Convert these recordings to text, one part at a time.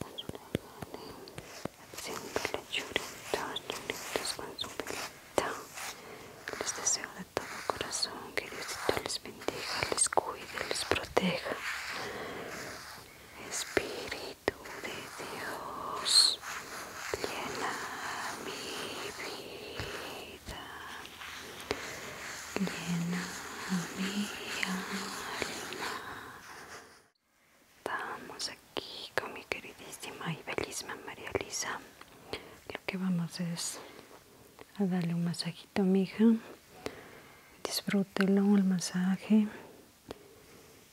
con su Les deseo de todo corazón que dios les bendiga, les cuide, les proteja. Espíritu de Dios, llena mi vida, llena mi alma. Estamos aquí con mi queridísima y bellísima María Elisa Lo que vamos es a darle un masajito a mi hija. Disfrútelo el masaje.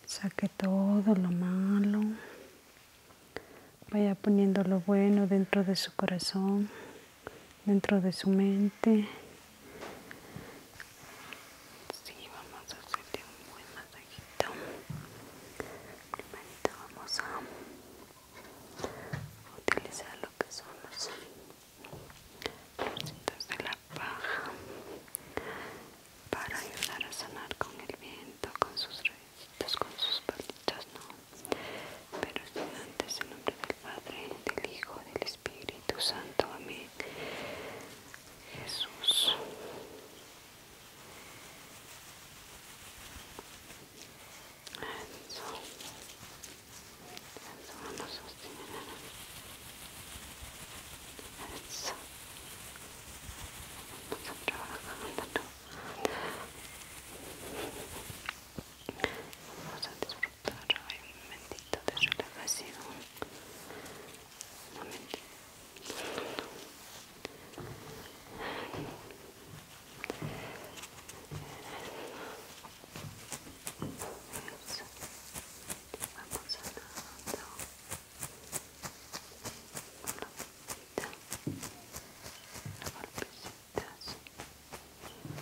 Saque todo lo malo. Vaya poniendo lo bueno dentro de su corazón, dentro de su mente Sí, vamos a hacerte un buen masajito. primero vamos a utilizar lo que son los bolsitos de la paja para ayudar a sanar con el viento, con sus raíces, con sus patitos ¿no? Pero sin antes, en nombre del Padre, del Hijo, del Espíritu Santo, amén. Jesús. Eso. Eso vamos a sostener. Eso. Vamos a trabajar. Vamos a disfrutar doctor. hay un momentito de relajación. Un momentito. Vamos a Una golpecita. Una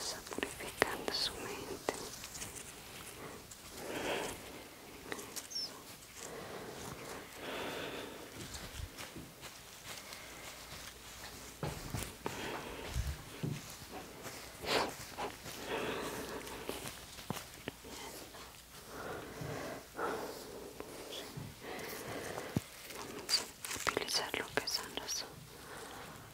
Está purificando su mente. Eso. Vamos a utilizar lo que son los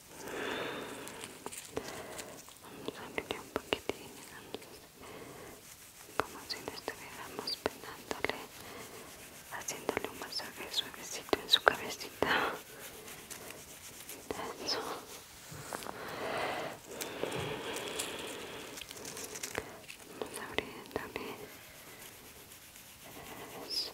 Vamos a abrirle un poquitín como si le estuviéramos penándole haciéndole un masaje suavecito en su cabecita. Eso. Vamos abriéndole. Eso.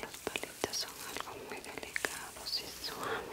las palitas son algo muy delicado y suaves.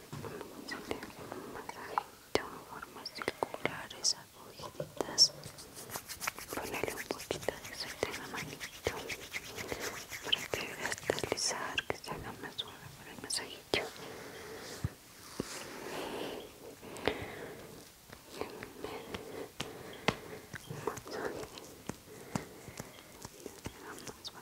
Vamos a hacerle un masajito en formas esas agujitas ponle un poquito de suerte en la manito para que veas deslizar, que se haga más suave para el masajito un masaje que se haga más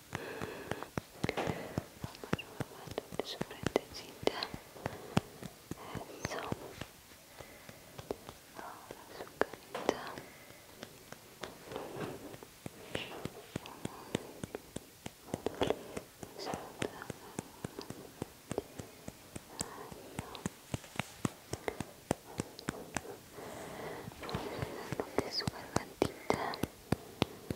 Vamos robando de su frentecita. Eso. Ahora su carita. Vamos a su gargantita.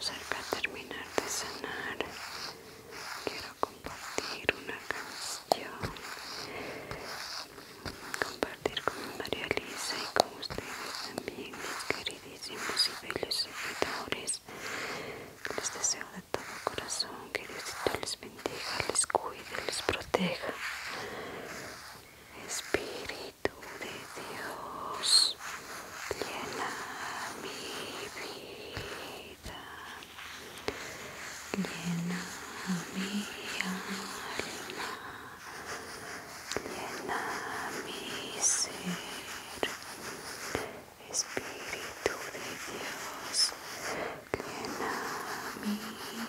Cerca de terminar de sanar quiero compartir una canción compartir con María Elisa y con ustedes también mis queridísimos y bellos seguidores les deseo de todo corazón que dios les bendiga les cuide, les proteja Espíritu Espíritu de Dios llena mi vida, llena mi alma, llena mi ser, Espíritu de Dios llena mi vida.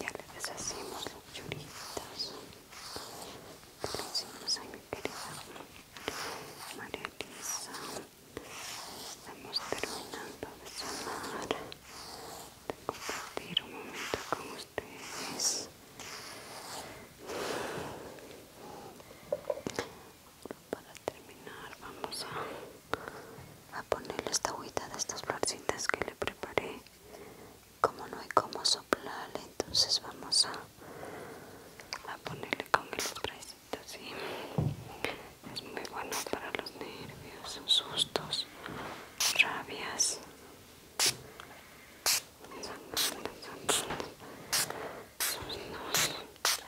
ya le deshacimos los churitos hicimos a mi querida María Elisa estamos terminando de sonar de compartir un momento con ustedes para terminar vamos a, ponerle esta agüita de estas florcitas que le preparé como no hay como soplarle entonces vamos a, a ponerle con el spraycito ¿sí? es muy bueno para los nervios sustos rabias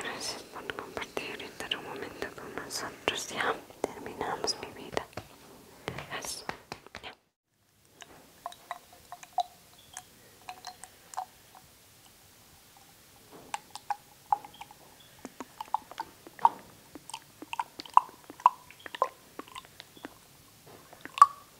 Gracias por compartir un momento con nosotros. Ya terminamos mi vida.